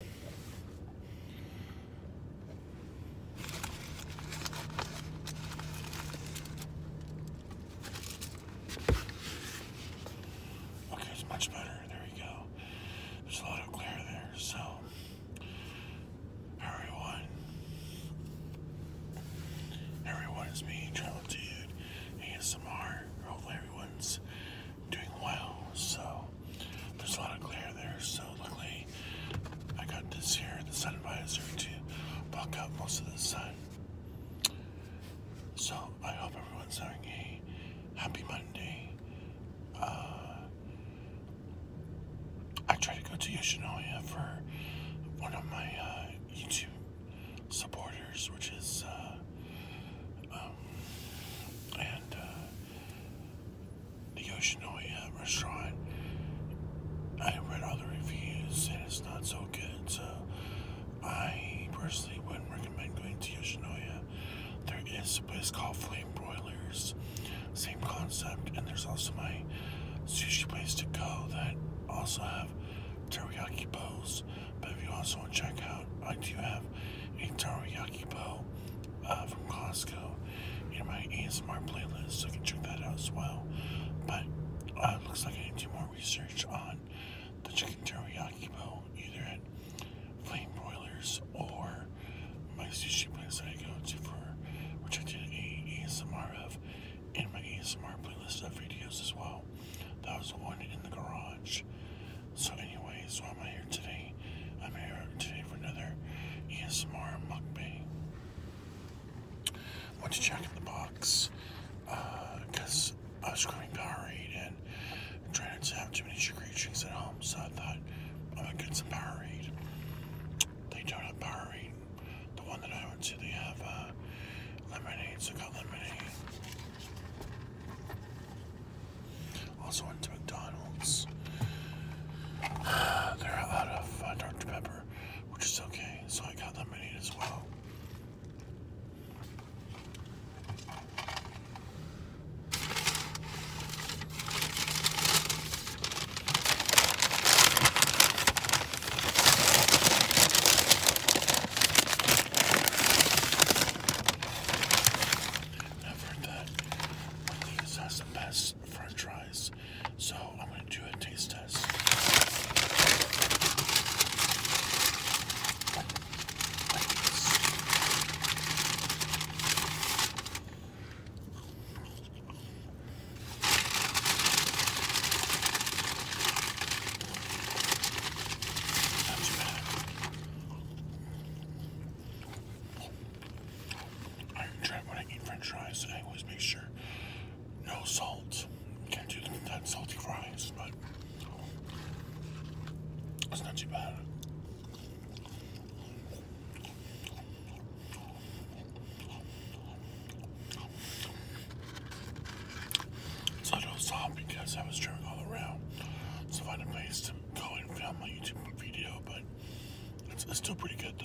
Okay, it's much better. There we go. There's a lot of glare there, so. Everyone, everyone's me, Travel Dude, ASMR. Hopefully, everyone's doing well. So there's a lot of glare there. So luckily, I got this here, the sun visor, to block out most of the sun. So I hope everyone's having a happy Monday. Uh, I try to go to Yoshinoya for one of my uh, YouTube supporters, which is. Uh, um, and the Yoshinoya restaurant. I read other reviews and it's not so good, so I personally wouldn't recommend going to Yoshinoya. There is a place called Flame Broilers, same concept, and there's also my sushi place to go that also have teriyaki bowls. But if you also want to check out, I do have a teriyaki Soggy Bow uh, from Costco in my ASMR playlist, so you can check that out as well. But uh, looks like I need to do more research on the chicken teriyaki bow, either at Flame Broilers or my sushi place I go to for, which I did an ASMR of in my ASMR playlist of videos as well. That was one in the garage. So anyway, so I'm here today. I'm here today for another ASMR mukbang. Went to Jack in the Box because uh, I was craving Powerade and trying not to have too many sugary drinks at home. So I thought I'm gonna get some Powerade. They don't have Powerade. The one that I went to, they have uh, lemonade. So I got lemonade. Also went to McDonald's. They're out of uh, Dr. Pepper, which is okay, so I got that lemonade as well effort that one of has the best french fries. So I'm going to do a taste test. I try when I eat French fries. I always make sure no salt. Can't do that salty fries, but it's not too bad. It's a little soft because I was driving all around to find a place going found my YouTube video, but it's still pretty good though.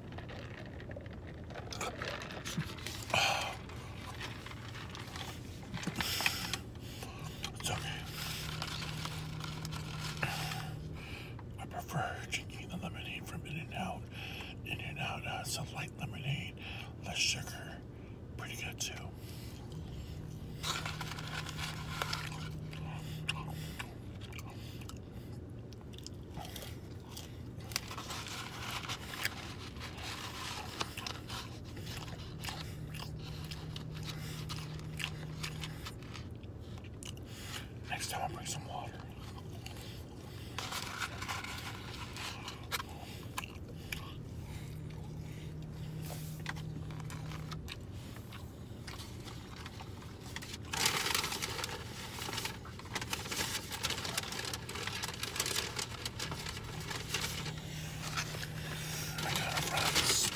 I prefer drinking the lemonade from In and Out. In and Out uh, it's a light lemonade, less sugar. Pretty good too. Next time I'll bring some water. I got a promise.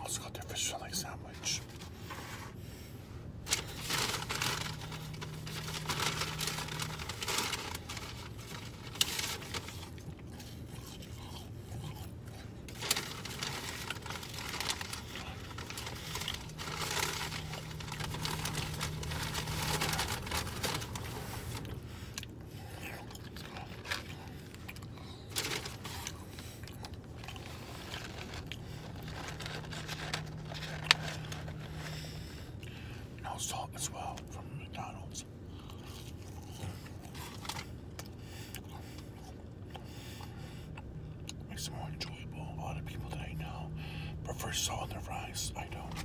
Also got their fish fillet sandwich. No salt as well from McDonald's. Makes it more enjoyable. A lot of people that I know prefer salt on I don't.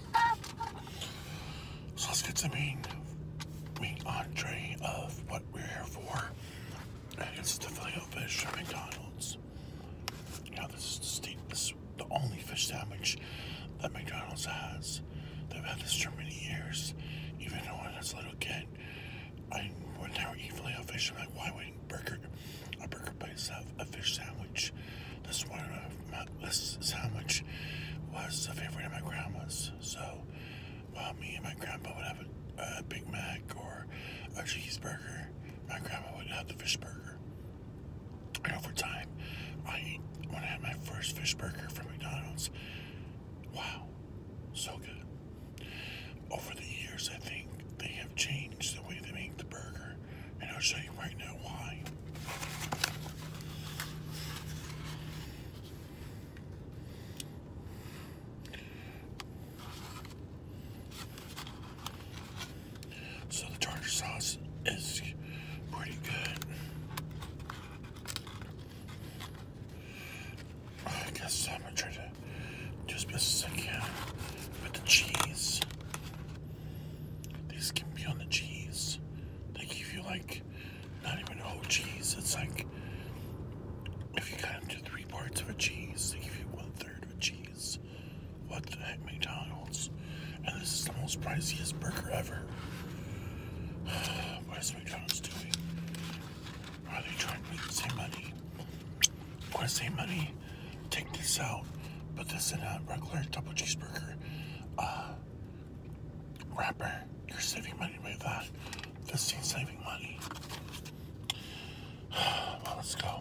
So let's get the main, main entree of what we're here for. And it's the filet fish from McDonald's. Now this is the only fish sandwich that McDonald's has. They've had this for many years. Even when I was a little kid, I would never eat filet fish. I'm like, why wouldn't burger a burger place have a fish sandwich? This one my, this how much was a favorite of my grandma's. So while me and my grandpa would have a, Big Mac or a cheeseburger, my grandma would have the fish burger. And over time, I ate, when I had my first fish burger from McDonald's, wow, so good. Over the years, I think they have changed the way they make the burger, and I'll show you right now why. So the tartar sauce is pretty good. I guess I'm gonna try to just be second with the cheese. These can be on the cheese. They give you like not even a whole cheese. It's like if you cut into three parts of a cheese, they give you one third of a cheese. What the heck, McDonald's? And this is the most priciest burger ever. what is McDonald's doing? Are they trying to make the same money? Want to save money? Take this out. Put this in a regular double cheeseburger. Uh, Rapper, you're saving money with that. This thing's saving money. Well, let's go.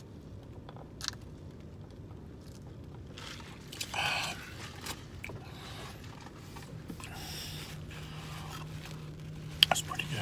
Um, that's pretty good.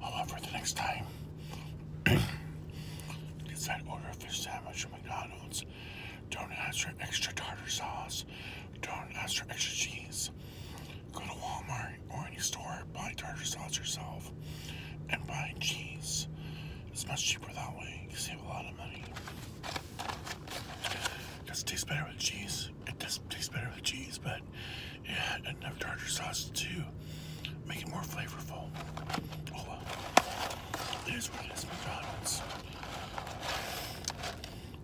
However, the next time decide to order a fish sandwich from oh McDonald's, don't extra tartar sauce don't ask for extra cheese. Go to Walmart or any store, buy tartar sauce yourself, and buy cheese. It's much cheaper that way. You save a lot of money. It does taste better with cheese. It does taste better with cheese, but yeah, enough tartar sauce to make it more flavorful. Oh well. It is what it is, McDonald's.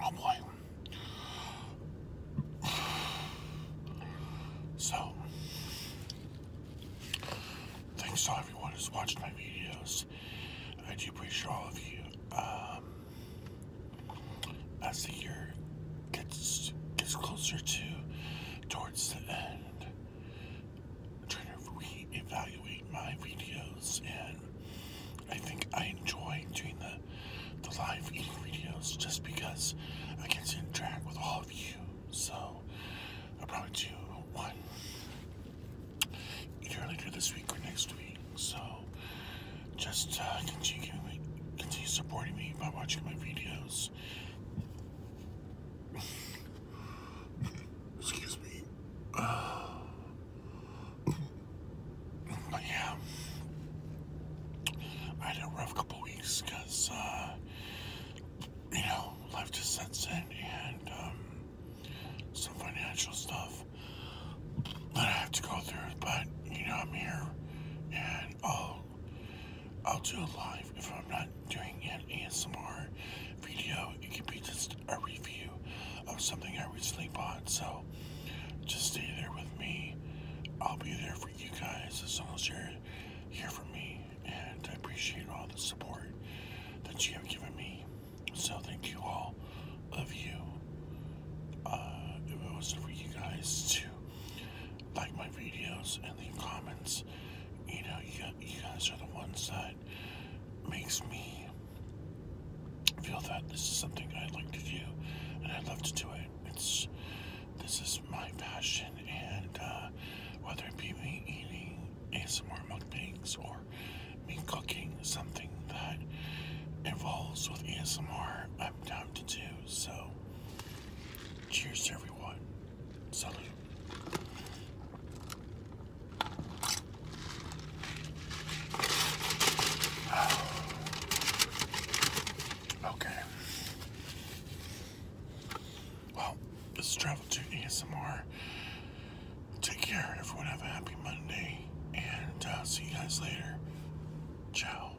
Oh, boy. So, thanks to everyone who's watched my videos. I do appreciate all of you. Um, as the year gets gets closer to towards the end, I'm trying to re-evaluate my videos, and I think I enjoy doing the, the live videos just because I get to interact with all of you. So, I'll probably do one either later this week or next week. So, just uh, continue, continue supporting me by watching my videos excuse me but yeah I had a rough couple weeks uh, you know life just sets in and um, some financial stuff that I have to go through but you know I'm here and i I'll do a live if I'm not doing an ASMR video. It could be just a review of something I recently bought. So just stay there with me. I'll be there for you guys as long as you're here for me. And I appreciate all the support that you have given me. So thank you all. of you. Uh, it was you guys to like my videos and the comments. You know, you, you guys are the ones that makes me feel that this is something I would like to do and I would love to do it. It's this is my passion, and uh, whether it be me eating ASMR mukbangs or me cooking something that involves with ASMR, I'm down to do. So Cheers, everyone. Salute. Okay. Well, this is Travel to ASMR. Take care, everyone. Have a happy Monday, and uh, see you guys later. Ciao.